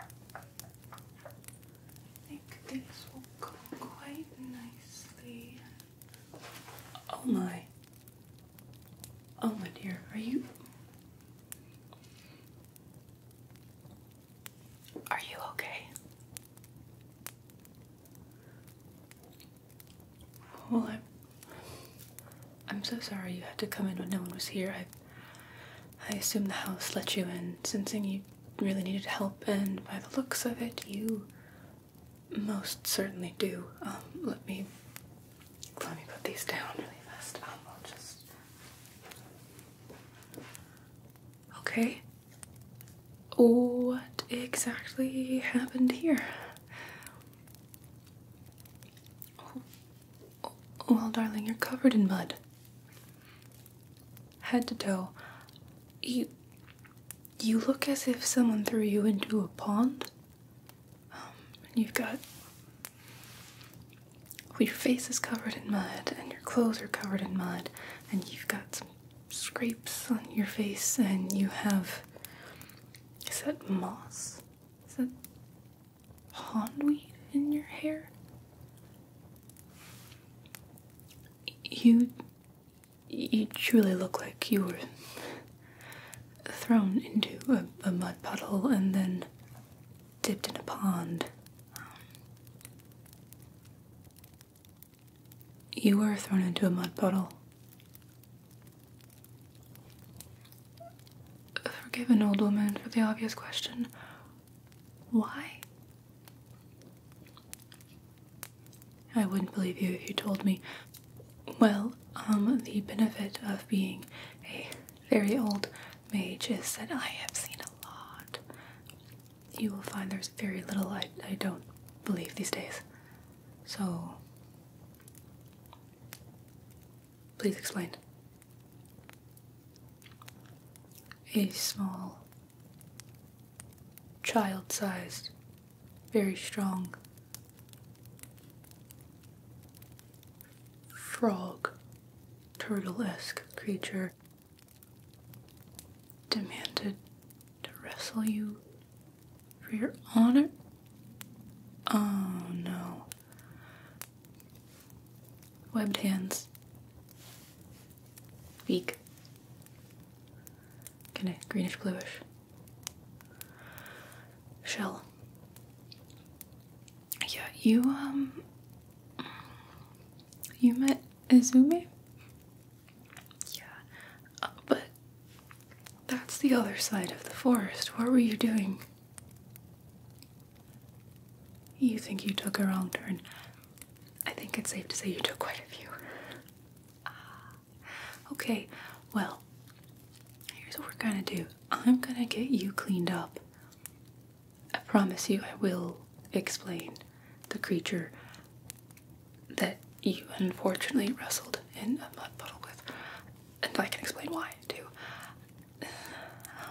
I think these will go quite nicely. Oh my. Oh my dear, are you Are you okay? Well, I'm, I'm so sorry you had to come in when no one was here. I, I assume the house let you in, sensing you really needed help, and by the looks of it, you most certainly do. Um, let me, let me put these down really fast. Um, I'll just. Okay. What exactly happened here? Oh. well, darling, you're covered in mud. Head to toe. You. You look as if someone threw you into a pond. Um, and you've got. Well, your face is covered in mud, and your clothes are covered in mud, and you've got some scrapes on your face, and you have. Is that moss? Is that pondweed in your hair? You. You truly look like you were thrown into a, mud puddle and then dipped in a pond. you were thrown into a mud puddle. Forgive an old woman for the obvious question. Why? I wouldn't believe you if you told me. Well, um, the benefit of being a very old mage is that I have seen a lot. You will find there's very little I, I don't believe these days. So, Please explain. A small, child sized, very strong frog, turtle esque creature demanded to wrestle you for your honor? Oh no. Webbed hands. Beak. Kind of greenish bluish. Shell. Yeah, you, um. You met Izumi? Yeah, uh, but that's the other side of the forest. What were you doing? You think you took a wrong turn. I think it's safe to say you took quite a few. Ah, okay, well, here's what we're gonna do I'm gonna get you cleaned up. I promise you, I will explain the creature that you unfortunately wrestled in a mud puddle with and I can explain why too.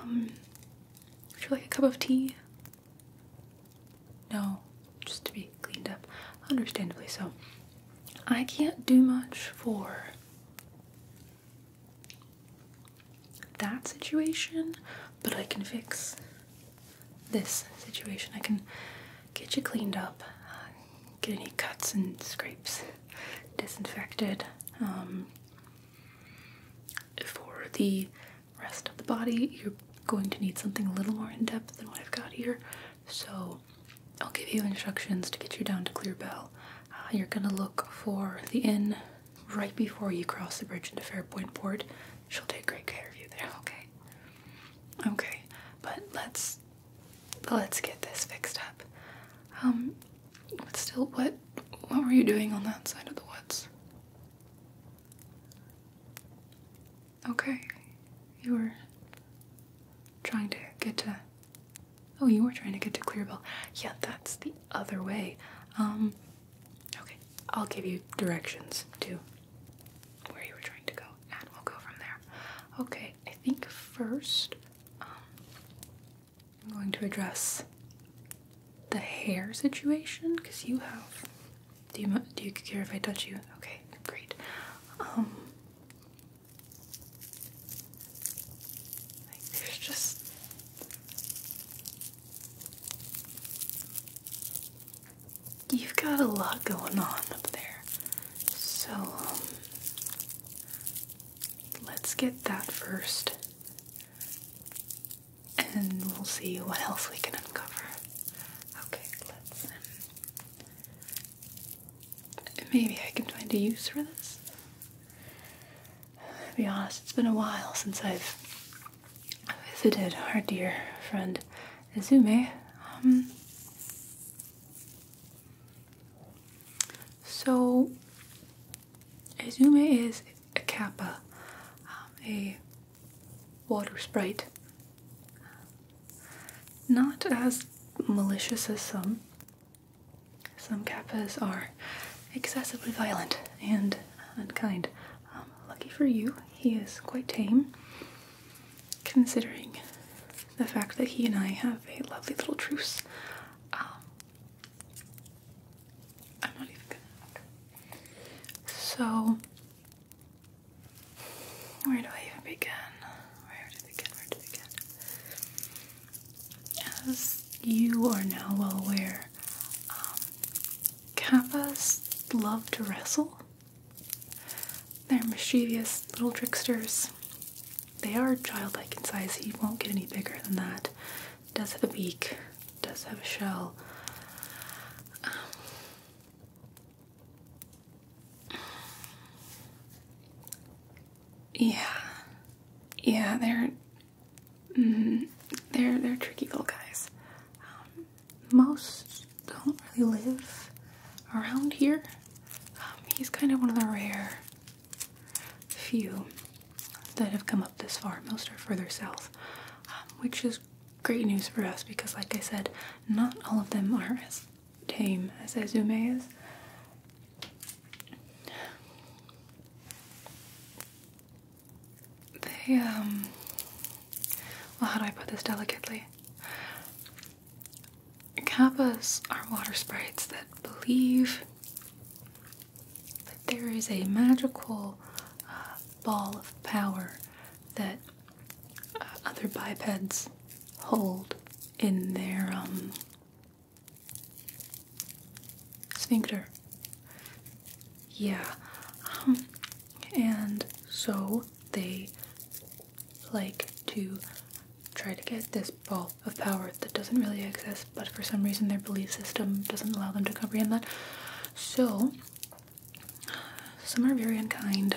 Um, would you like a cup of tea? No, just to be cleaned up, understandably so. I can't do much for that situation, but I can fix this situation. I can get you cleaned up, uh, get any cuts and scrapes disinfected um, for the rest of the body you're going to need something a little more in depth than what I've got here so I'll give you instructions to get you down to Clear Bell uh, you're gonna look for the inn right before you cross the bridge into Fairpoint Port she'll take great care of you there okay okay but let's let's get this fixed up. but um, still, what what were you doing on that side of the woods? Okay, you were trying to get to. Oh, you were trying to get to Clearbell. Yeah, that's the other way. Um, okay, I'll give you directions to where you were trying to go, and we'll go from there. Okay, I think first um, I'm going to address the hair situation because you have. Do you do you care if I touch you? Okay, great. Um, there's just you've got a lot going on up there, so um, Let's get that first, and we'll see what else we can uncover. Okay, let's. Um, maybe I can find a use for this. To be honest, it's been a while since I've visited our dear friend Izume. Um, so, Izume is a kappa, um, a water sprite. Not as malicious as some. Some kappas are excessively violent and unkind. Um, lucky for you, he is quite tame considering the fact that he and I have a lovely little truce. Um, I'm not even going So, where do I even begin? Where to begin? Where to begin? As you are now well aware, um, kappas love to wrestle. They're mischievous little tricksters. They are childlike in size. He won't get any bigger than that. Does have a beak. Does have a shell. Um, yeah, yeah. They're mm-hmm. they're they're tricky little guys. Um, most don't really live around here. Um, he's kind of one of the rare few that have come up this far. Most are further south, um, which is great news for us because, like I said, not all of them are as tame as Azume is. They, um, well, how do I put this delicately? Kappas are water sprites that believe that there is a magical uh, ball of power that uh, other bipeds hold in their um, sphincter. Yeah. Um, and so they like to try to get this ball of power that doesn't really exist, but for some reason their belief system doesn't allow them to comprehend that. So, some are very unkind.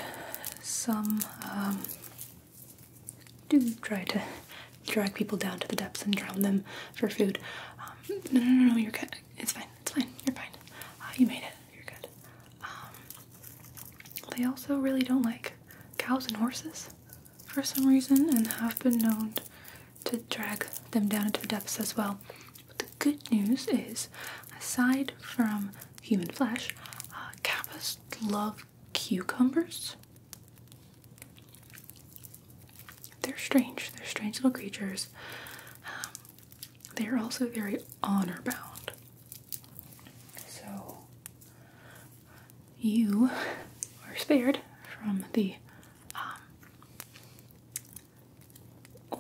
Some um, do try to drag people down to the depths and drown them for food. Um, no, no, no, no, you're good. It's fine. It's fine. You're fine. Uh, you made it. You're good. Um, they also really don't like cows and horses for some reason and have been known to drag them down into the depths as well. But the good news is, aside from human flesh, uh, kappas love cucumbers. They're strange. They're strange little creatures. Um, they are also very honor bound. So you are spared from the um,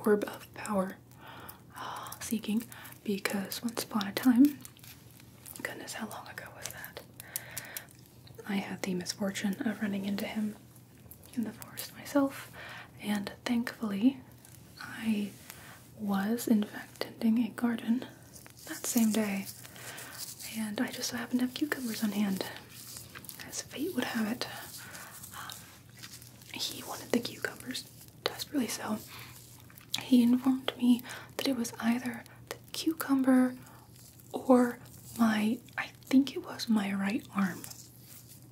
orb of power uh, seeking because once upon a time, goodness, how long ago was that? I had the misfortune of running into him in the forest myself, and thankfully, I was in fact tending a garden that same day, and I just so happened to have cucumbers on hand, as fate would have it. Um, he wanted the cucumbers desperately, so he informed me that it was either the cucumber or my, I think it was my right arm.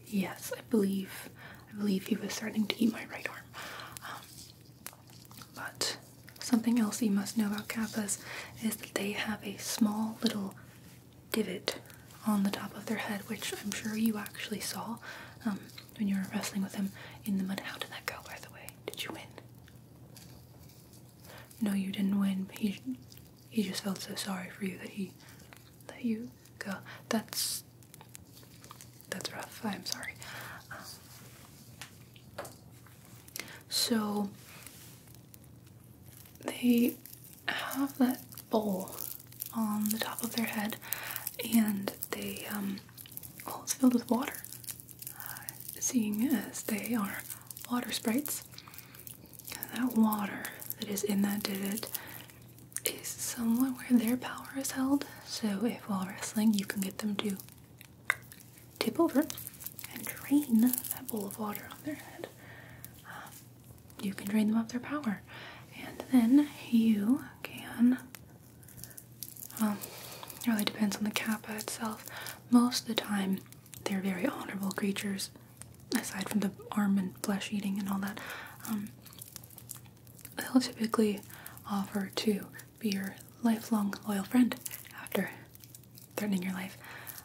Yes, I believe, I believe he was starting to eat my right arm. Um, but something else you must know about kappas is that they have a small little divot on the top of their head, which I'm sure you actually saw um, when you were wrestling with them in the mud. How did that go, by the way? Did you win? No, you didn't win. He he just felt so sorry for you that he that you go. That's that's rough. I'm sorry. Um, so they have that bowl on the top of their head, and they um, well, it's filled with water. Uh, seeing as they are water sprites, that water that is in that divot is somewhat where their power is held. So if while wrestling, you can get them to tip over and drain that bowl of water on their head. Um, you can drain them of their power. And then you can, um, it really depends on the kappa itself. Most of the time, they're very honorable creatures, aside from the arm and flesh eating and all that. Um, they'll typically offer to be your lifelong loyal friend after threatening your life.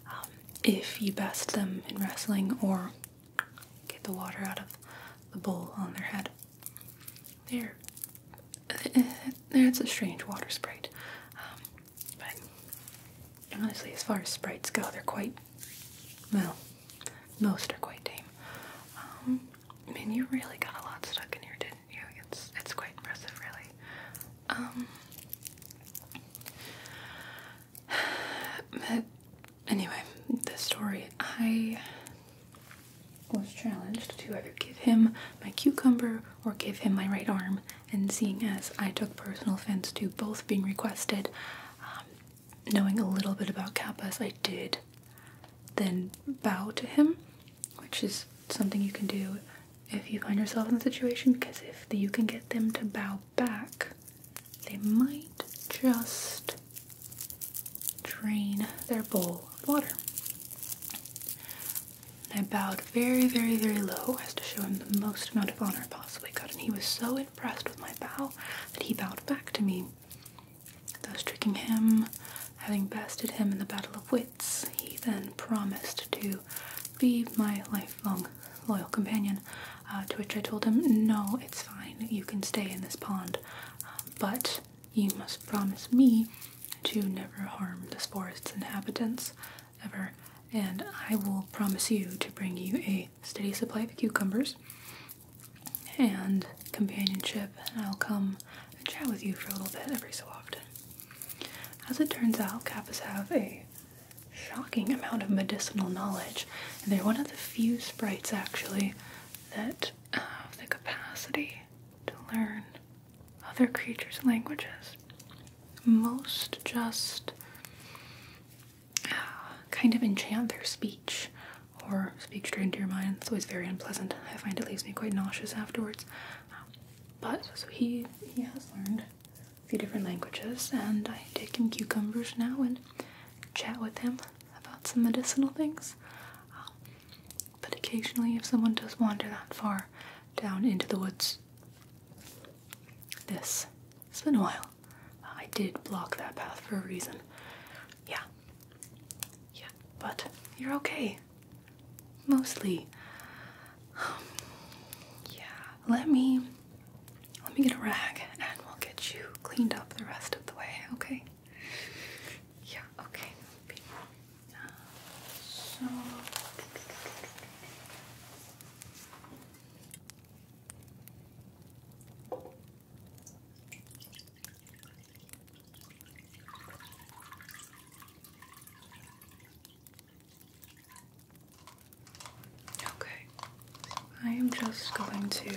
Um, if you best them in wrestling or get the water out of the bowl on their head. There. That's a strange water sprite. Um, but honestly, as far as sprites go, they're quite. Well, most are quite tame. I um, mean, you really got a lot stuck in here, did it's it's quite impressive, really. Um, but anyway, the story I was challenged to either give him my cucumber or give him my right arm, and seeing as I took personal offense to both being requested, um, knowing a little bit about kappas, I did then bow to him which is something you can do if you find yourself in the situation because if you can get them to bow back, they might just drain their bowl of water. I bowed very, very, very low as to show him the most amount of honor I possibly could, and he was so impressed with my bow that he bowed back to me. Thus tricking him, having bested him in the battle of wits, he then promised to be my lifelong loyal companion. Uh, to which I told him, No, it's fine, you can stay in this pond, uh, but you must promise me to never harm this forest's inhabitants ever, and I will promise you to bring you a steady supply of cucumbers and companionship, and I'll come and chat with you for a little bit every so often. As it turns out, Kappas have a shocking amount of medicinal knowledge, and they're one of the few sprites actually that have the capacity to learn other creatures' languages. Most just uh, kind of enchant their speech or speak straight into your mind. It's always very unpleasant. I find it leaves me quite nauseous afterwards. but so he he has learned a few different languages, and I take him cucumbers now and chat with him about some medicinal things. but occasionally, if someone does wander that far down into the woods, this it's been a while. I did block that path for a reason. Yeah. Yeah but you're okay. Mostly. yeah, let me let me get a rag and we'll get you cleaned up the rest of the way, okay? Yeah, okay. so Okay, I am just going to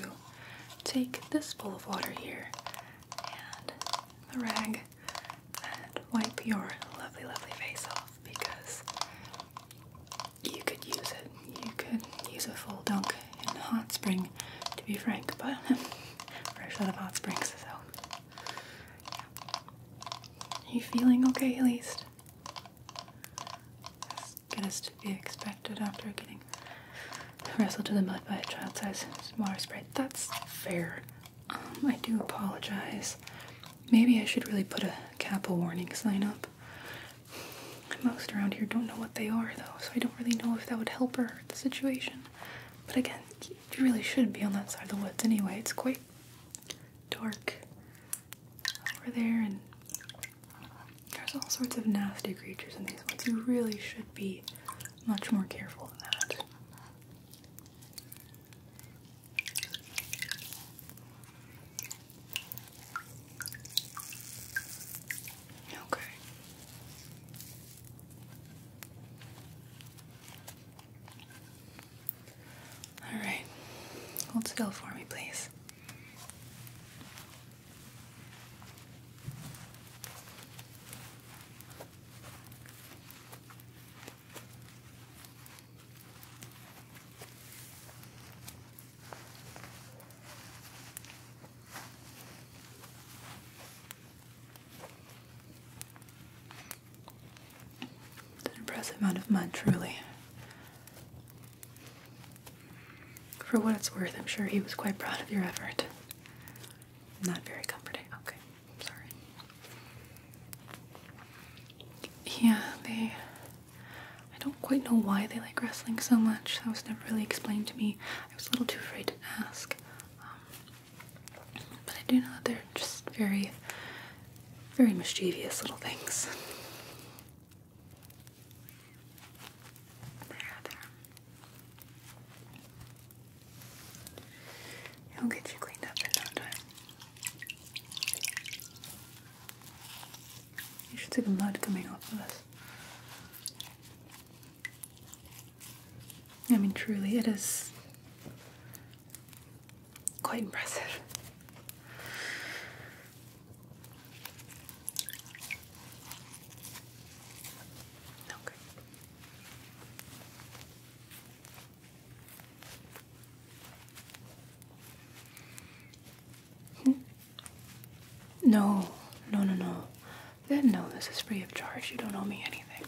take this bowl of water here and the rag and wipe your lovely, lovely face off because you could use it. You could use a full dunk in hot spring, to be frank, but fresh out of hot springs, so. Yeah. Are you feeling okay at least? As good to be expected after getting wrestled to the mud by a child sized water sprite. That's fair. Um, I do apologize. Maybe I should really put a Kappa warning sign up. Most around here don't know what they are, though, so I don't really know if that would help or hurt the situation. But again, you really should not be on that side of the woods anyway. It's quite dark over there, and there's all sorts of nasty creatures in these woods. You really should be much more careful than that. Okay. All right. Hold still for me, please. It's an impressive amount of money, truly. For what it's worth, I'm sure he was quite proud of your effort. Not very comforting. Okay, I'm sorry. Yeah, they. I don't quite know why they like wrestling so much. That was never really explained to me. I was a little too afraid to ask. Um, but I do know that they're just very, very mischievous little things. There, will get you cleaned up in no time. You should see the mud coming off of this. I mean, truly, it is quite impressive. Okay. Hmm. No, no, no, no. Then no, this is free of charge. You don't owe me anything.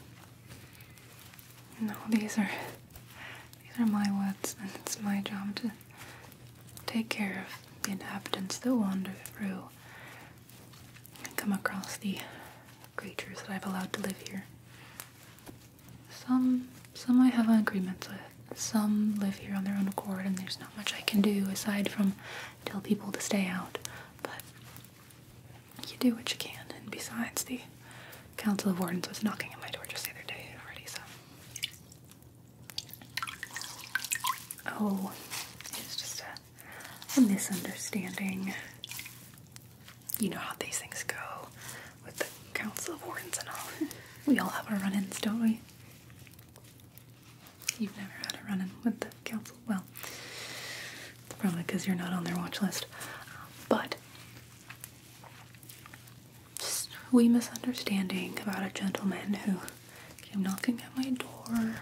No, these are these are my words, and it's my job to take care of the inhabitants that wander through and come across the creatures that I've allowed to live here. Some some I have agreements with. Some live here on their own accord, and there's not much I can do aside from tell people to stay out, but you do what you can. And besides, the Council of Wardens was knocking at my door just the other day already, so. Oh, it's just a, a misunderstanding. You know how these things go with the Council of Wardens and all. we all have our run ins, don't we? You've never had a run-in with the council. Well, it's probably because you're not on their watch list. but just we misunderstanding about a gentleman who came knocking at my door,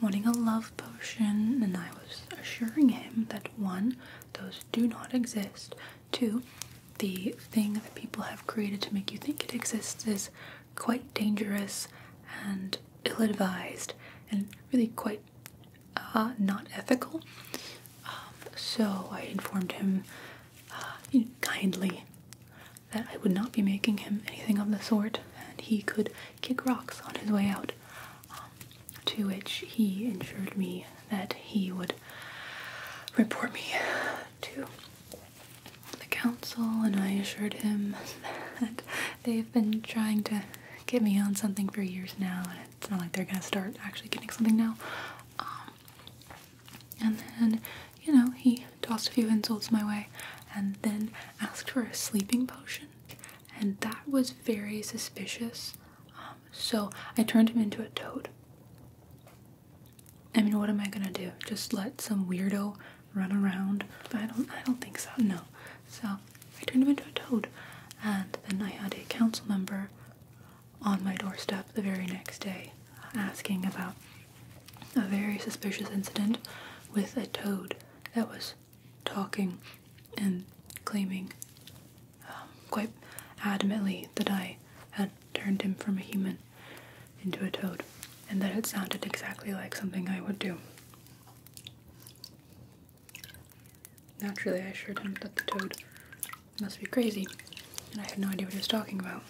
wanting a love potion, and I was assuring him that one, those do not exist. Two, the thing that people have created to make you think it exists is quite dangerous and ill advised and really quite uh, not ethical. Um, so I informed him uh, kindly that I would not be making him anything of the sort and he could kick rocks on his way out. Um, to which he assured me that he would report me to the council, and I assured him that they've been trying to get me on something for years now, and it's not like they're gonna start actually getting something now. Um, and then, you know, he tossed a few insults my way and then asked for a sleeping potion, and that was very suspicious. Um, so I turned him into a toad. I mean, what am I gonna do? Just let some weirdo run around. But I don't I don't think so, no. So I turned him into a toad. And then I had a council member on my doorstep the very next day asking about a very suspicious incident with a toad that was talking and claiming um, quite adamantly that I had turned him from a human into a toad, and that it sounded exactly like something I would do. Naturally, I assured him that the toad must be crazy, and I had no idea what he was talking about.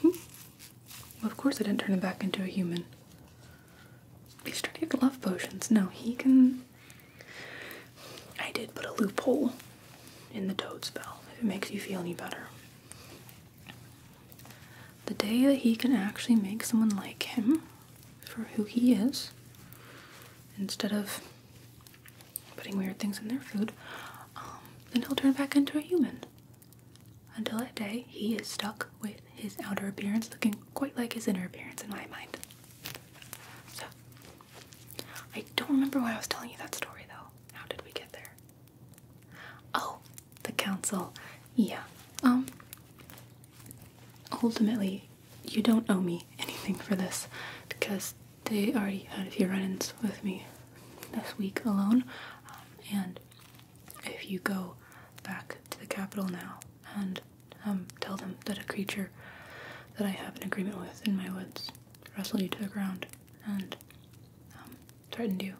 Hmm. Well, of course, I didn't turn him back into a human. He's trying to get love potions. No, he can. I did put a loophole in the toad spell if it makes you feel any better. The day that he can actually make someone like him for who he is, instead of putting weird things in their food, um, then he'll turn back into a human. Until that day, he is stuck with his outer appearance looking quite like his inner appearance in my mind. So, I don't remember why I was telling you that story though. How did we get there? Oh, the council. Yeah. Um, ultimately you don't owe me anything for this because they already had a few run-ins with me this week alone. Um, and if you go back to the capital now and um, tell them that a creature that I have an agreement with in my woods wrestled you to the ground and threatened you,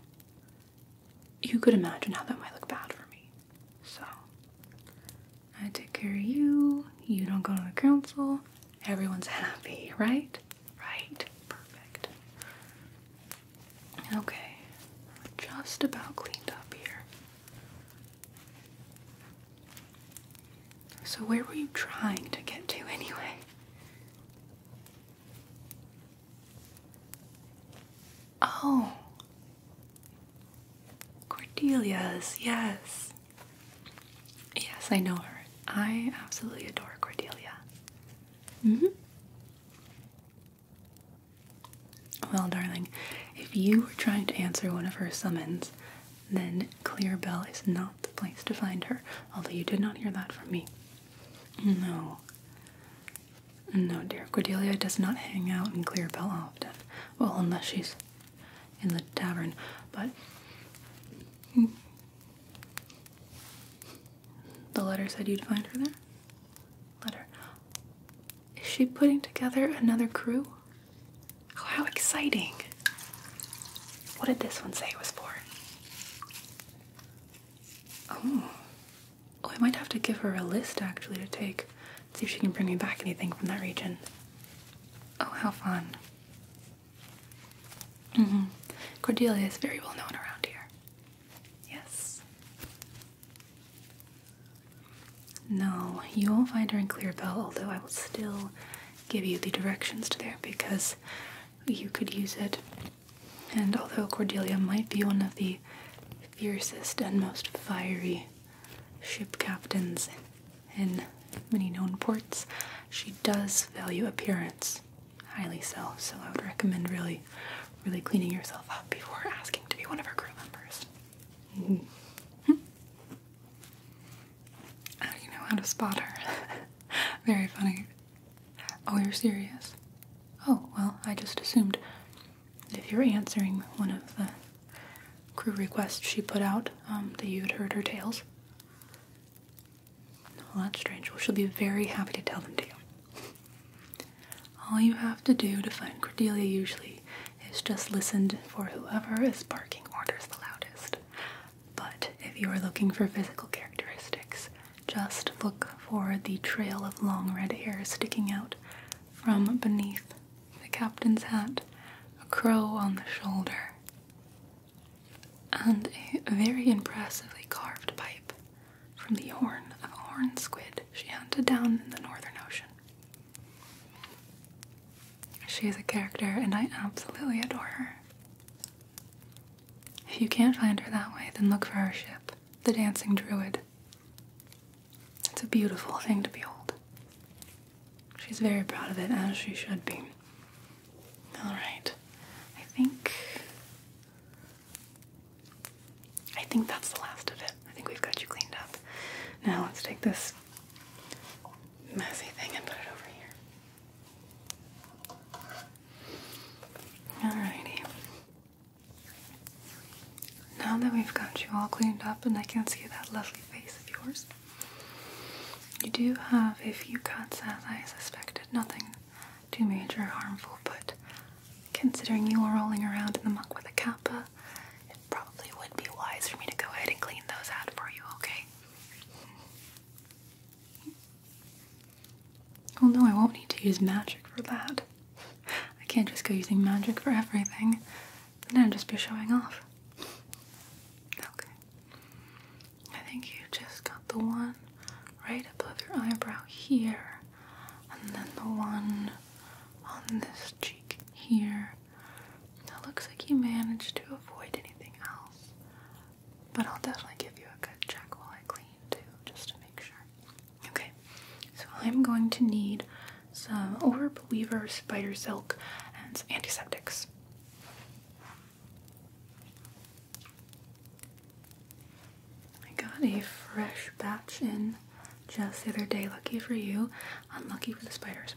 you could imagine how that might look bad for me. So, I take care of you, you don't go to the council, everyone's happy, right? Right, perfect. Okay, just about cleaned up here. So, where were you trying to get to anyway? Oh, Cordelia's, yes. Yes, I know her. I absolutely adore Cordelia. hmm. Well, darling, if you were trying to answer one of her summons, then Clear Bell is not the place to find her, although you did not hear that from me. No. No, dear. Cordelia does not hang out in Clearbell often. Well, unless she's in the tavern, but. The letter said you'd find her there? Letter. Is she putting together another crew? Oh, how exciting! What did this one say it was for? Oh. oh. I might have to give her a list actually to take. See if she can bring me back anything from that region. Oh, how fun. Mm-hmm. Cordelia is very well known around here. Yes. No, you will find her in Clearbell, although I will still give you the directions to there because you could use it. And although Cordelia might be one of the fiercest and most fiery ship captains in many known ports, she does value appearance highly so. So I would recommend really, really cleaning yourself up before asking to be one of our crew members. How mm-hmm. do ah, you know how to spot her. Very funny. Oh, you're serious? Oh, well, I just assumed if you're answering one of the crew requests she put out, um, that you'd heard her tales. Well, that's strange. Well, she'll be very happy to tell them to you. All you have to do to find Cordelia usually is just listen for whoever is barking orders the loudest. But if you are looking for physical characteristics, just look for the trail of long red hair sticking out from beneath the captain's hat, a crow on the shoulder, and a very impressively carved pipe from the horn of a horn squid she hunted down in the Northern Ocean. She is a character, and I absolutely adore her. If you can't find her that way, then look for her ship, the Dancing Druid. It's a beautiful thing to behold. She's very proud of it, as she should be. Alright. I think. I think that's the last of it. I think we've got you cleaned up. Now let's take this messy thing and put it over here. Alrighty. Now that we've got you all cleaned up and I can see that lovely face of yours, you do have a few cuts as I suspected. Nothing too major harmful, but considering you were rolling around in the muck with a kappa, it probably would be wise for me to go ahead and clean those out for you, okay? Well, no, I won't need to use magic for that. I can't just go using magic for everything. Then I'd just be showing off. Okay. I think you just got the one right above your eyebrow here, and then the one on this cheek here. Now, looks like you managed to avoid anything else. But I'll definitely give you a good check while I clean too, just to make sure. Okay, so I'm going to need some Orb Weaver Spider Silk and some antiseptics. I got a fresh batch in just the other day. Lucky for you, unlucky for the spiders.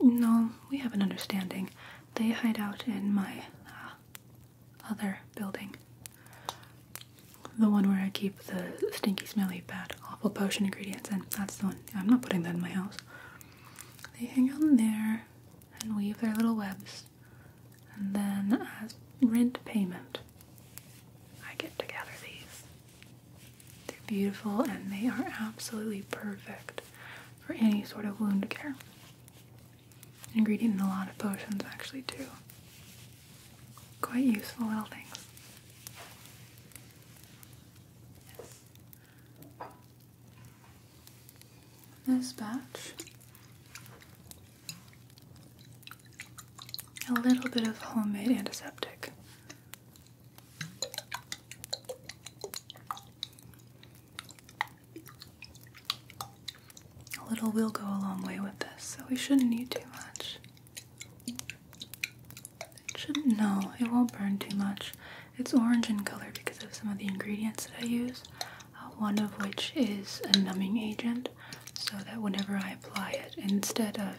No, we have an understanding. They hide out in my uh, other building. The one where I keep the stinky, smelly, bad, awful potion ingredients and That's the one. I'm not putting that in my house. They hang out in there and weave their little webs. And then, as rent payment, I get to gather these. They're beautiful and they are absolutely perfect for any sort of wound care ingredient in a lot of potions actually too. Quite useful little things. This batch, a little bit of homemade antiseptic. A little will go a long way with this, so we shouldn't need too much. It shouldn't, no, it won't burn too much. It's orange in color because of some of the ingredients that I use, uh, one of which is a numbing agent, so that whenever I apply it, instead of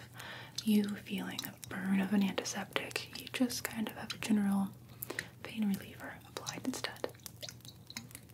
you feeling a burn of an antiseptic, you just kind of have a general pain reliever applied instead.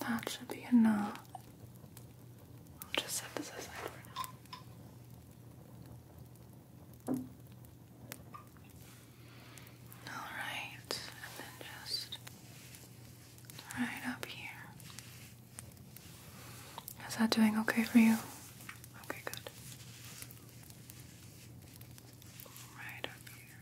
That should be enough. I'll just set this aside for now. Alright, and then just right up here. Is that doing okay for you? Okay, good. Right up here.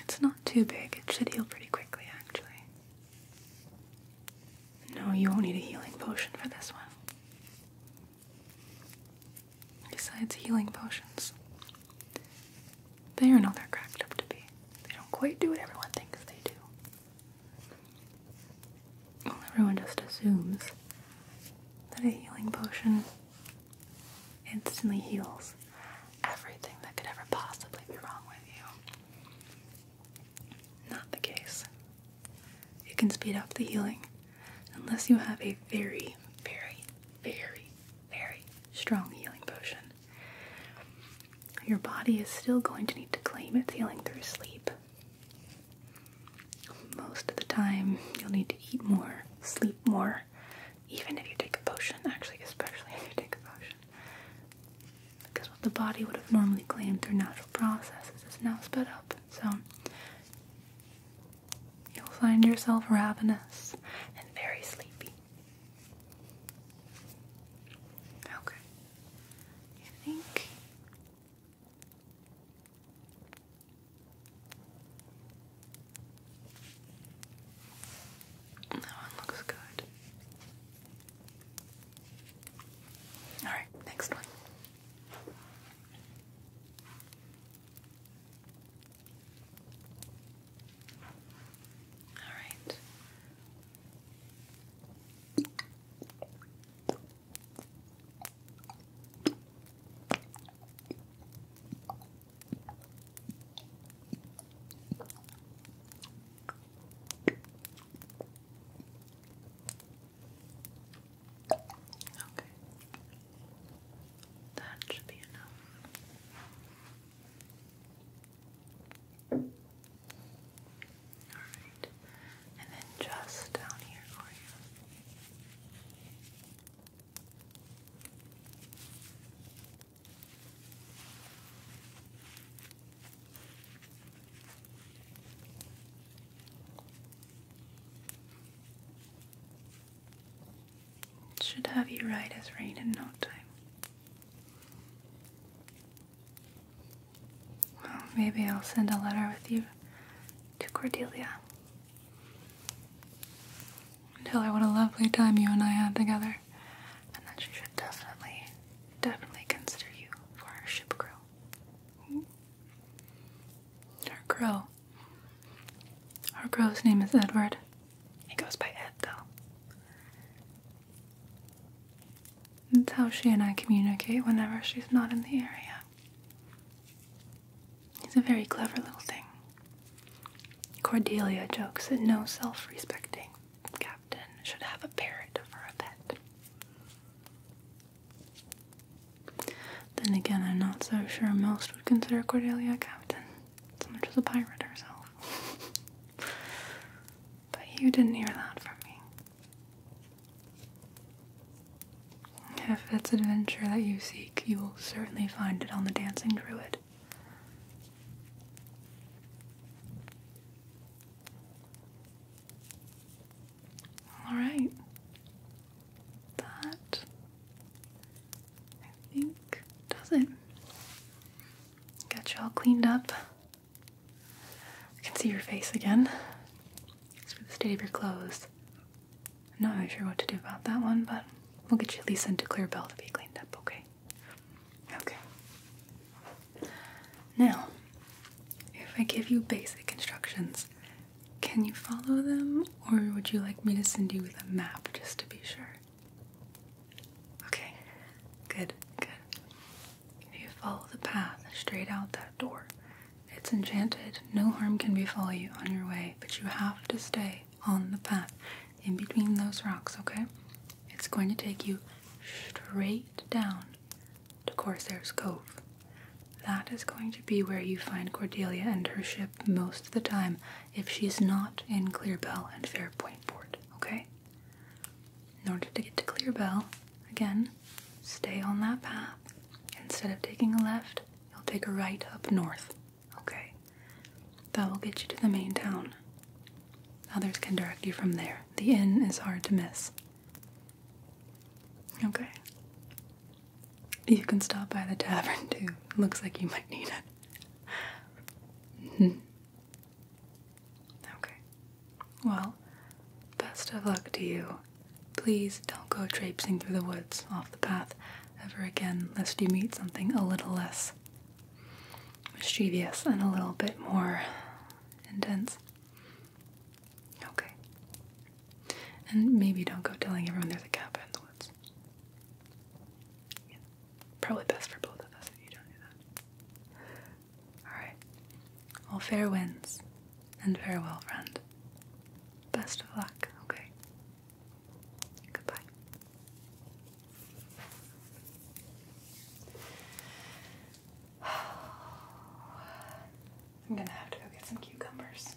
It's not too big. It should heal pretty quickly, actually. No, you won't need a healing potion for this one. Besides healing potions, they are not they're cracked up to be. They don't quite do what everyone thinks they do. Well, everyone just assumes that a healing potion instantly heals everything that could ever possibly be wrong with you. Not the case. It can speed up the healing unless you have a very, very, very, very strong healing potion. Your body is still going to need to claim its healing through sleep. Most of the time, you'll need to eat more, sleep more, even if you take a potion, actually, especially if you take a potion. Because what the body would have normally claimed through natural processes is now sped up. So, you'll find yourself ravenous and very sleepy. Okay. I think that one looks good. Alright, next one. Alright. Okay. That should be enough. All right. And then just down here for you. Should have you right as rain in no time. Well, maybe I'll send a letter with you to Cordelia and tell what a lovely time you and I had together, and that she should definitely, definitely consider you for our ship crew. Our crow. Our crow's name is Edward. He goes by Ed, though. That's how she and I communicate whenever she's not in the area. He's a very clever little thing. Cordelia jokes that no self respecting captain should have a parrot for a pet. Then again, I'm not so sure most would consider Cordelia a captain, so much as a pirate herself. but you didn't hear that from me. If it's adventure that you seek, you will certainly find it on the Dancing Druid. Alright. That, I think, does it. Got you all cleaned up. I can see your face again. It's for the state of your clothes. I'm not really sure what to do about that one, but we'll get you at least sent to Clear Bell to be cleaned up, okay? Okay. Now, if I give you basic instructions, can you follow them, or would you like me to send you with a map just to be sure? Okay, good, good. If you follow the path straight out that door, it's enchanted. No harm can befall you on your way, but you have to stay on the path in between those rocks, okay? It's going to take you straight down to Corsair's Cove. That is going to be where you find Cordelia and her ship most of the time if she's not in Clearbell and Fairpoint Port, okay? In order to get to Clearbell, again, Stay on that path. Instead of taking a left, you'll take a right up north. Okay? That will get you to the main town. Others can direct you from there. The inn is hard to miss. Okay. You can stop by the tavern too. Looks like you might need it. hmm Okay. Well, best of luck to you Please don't go traipsing through the woods off the path ever again, lest you meet something a little less mischievous and a little bit more intense. Okay. And maybe don't go telling everyone there's a cabin in the woods. Probably best for both of us if you don't do that. Alright. Well, fair winds, and farewell, friend. Best of luck, okay? Goodbye. I'm gonna have to go get some cucumbers.